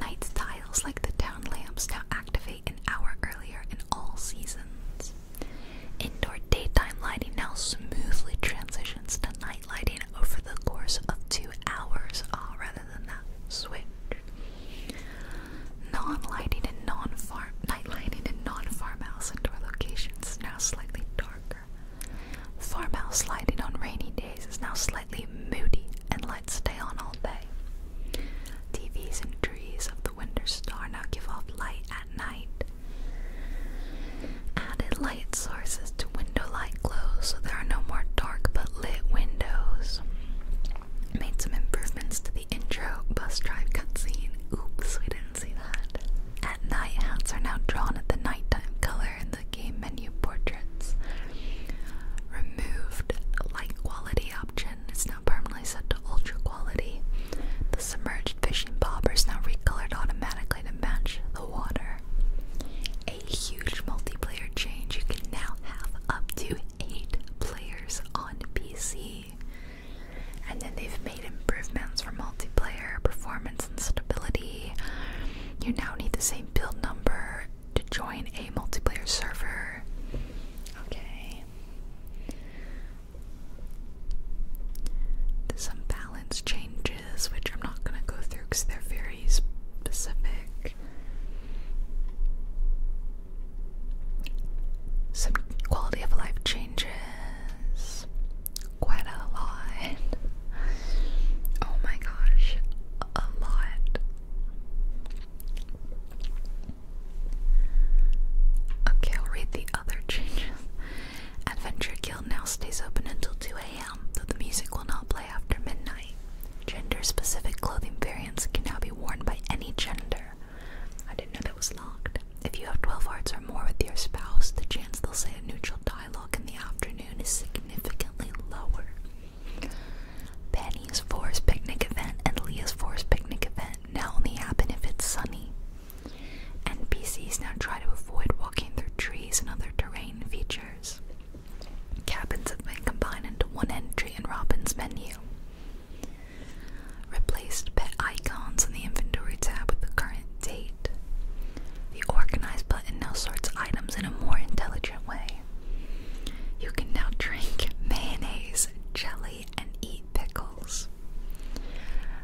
Night's tiles, like the town lamps, now activate an hour earlier in all seasons. Indoor daytime lighting now smoothly transitions to night lighting over the course of two hours, ah, rather than that switch. Non-lighting and non-farm night lighting and non-farmhouse indoor locations now slightly darker. Farmhouse lighting on rainy days is now slightly slightly moody, and lights stay on all day. TVs and trees of the winter star now give off light at night. Added light sources to window light glow, so there are no more dark but lit windows. Made some improvements to the intro bus drive cutscene. Oops, we didn't see that. At night, hats are now drawn at the nighttime color in the game menu portraits. Removed light quality option is now permanently set to ultra quality. The submerged fishing bobber is now recolored automatically to match the water. A huge multiplayer change. You can now have up to eight players on PC. And then they've made improvements for multiplayer performance and stability. You now need the same build number to join a multiplayer server. Okay. some balance changes, which I'm not going to go through because they're very specific. Some quality of life changes. Quite a lot. Oh my gosh, a lot. Okay, I'll read the other changes. Adventure Guild now stays open until 2 a.m., though the music will not play after midnight. Gender specific clothing variants can now be worn by any gender. I didn't know that was locked. If you have 12 hearts or more with your spouse, the chance they'll say a neutral dialogue in the afternoon is significantly lower. Penny's forest picnic event and Leah's forest picnic event now only happen if it's sunny. NPCs now try to avoid walking through trees and other terrain features. Cabins have been combined into one entry in Robin's menu. Replaced pet icons in the inventory tab with the current date. The organize button now sorts items in a more intelligent way. You can now drink mayonnaise, jelly, and eat pickles.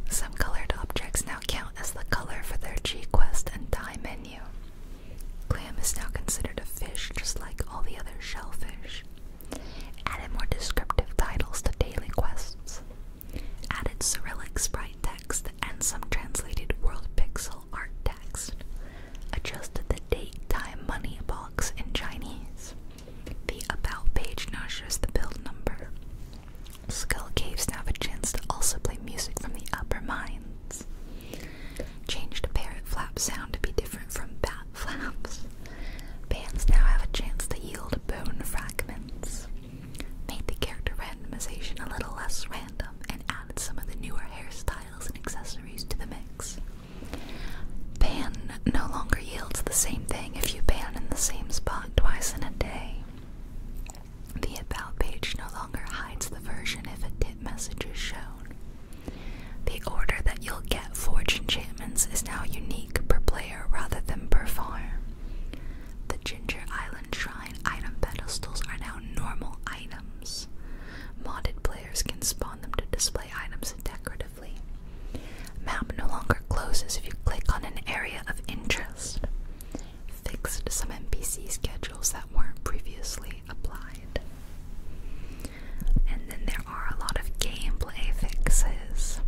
Some colored objects now count as the color for their G-Quest and Thai menu. Clam is now considered a fish just like all the other shellfish. Added more descriptive titles to daily quests. Added Cyrillic sprite text and some translated world pics Art Text adjusted the date, time, money box in Chinese. The About page now shows the build number. Skull Caves now have a chance to also play music from the upper mines. Change the parrot flap sound to be different from bat flaps. Bands now have a chance to yield bone fragments. Made the character randomization a little less random and added some of the newer hairstyles and accessories to the mix. Pan no longer yields the same thing if you pan in the same spot twice in a day. The About page no longer hides the version if a tip message is shown. The order that you'll get Forge enchantments is now unique per player rather than per farm. The Ginger Island Shrine item pedestals are now normal items items. Modded players can spawn them to display items decoratively. Map no longer closes if you click on an area of interest. Fixed some NPC schedules that weren't previously applied. And then there are a lot of gameplay fixes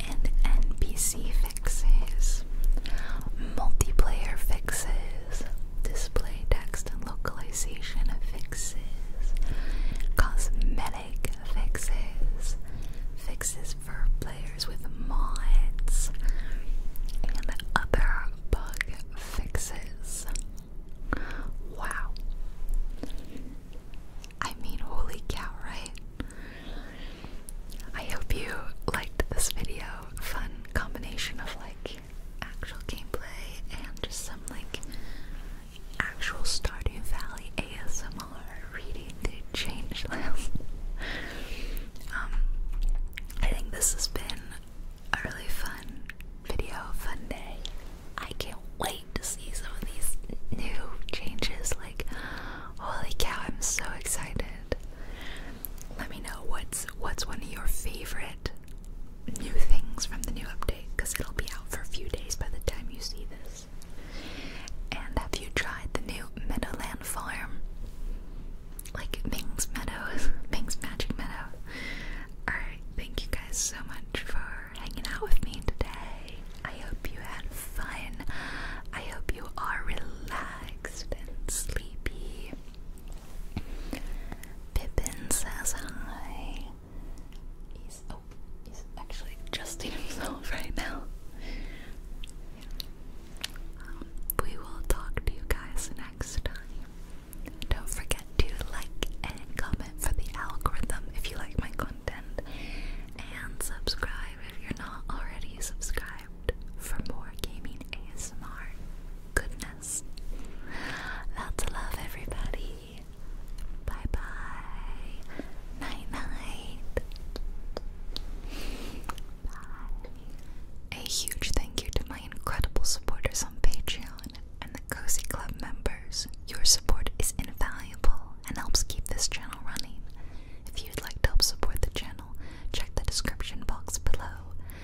and NPC fixes, multiplayer fixes display text and localization fixes, cosmetic fixes, fixes for players with mods, and other bug fixes. Wow. I mean, holy cow, right? I hope you liked this video. Fun combination of like actual gameplay and just some like actual Stardew Valley ASMR reading through Changeland. um, I think this has been a really fun video, fun day. I can't wait to see some of these new changes. Like, holy cow, I'm so excited let me know what's what's one of your favorite new things from the new update because it'll be out for a few days by the time you see this. And have you tried the new Meadowland farm? Like Ming's Meadows, Ming's Magic Meadow. Alright, thank you guys so much for hanging out with me today. I hope you had fun. I hope you are relaxed and sleepy. Pippin says hi. He's oh, actually adjusting himself right now. Um, we will talk to you guys next time. Don't forget to like and comment for the algorithm if you like my content, and subscribe if you're not already subscribed for more gaming ASMR goodness podcast. Lots love, everybody. Bye bye. Night night. Bye. A huge thank you to my incredible supporters on Patreon and the Cozy Club members. Your support is invaluable and helps keep this channel running. If you'd like to help support the channel, check the description box below.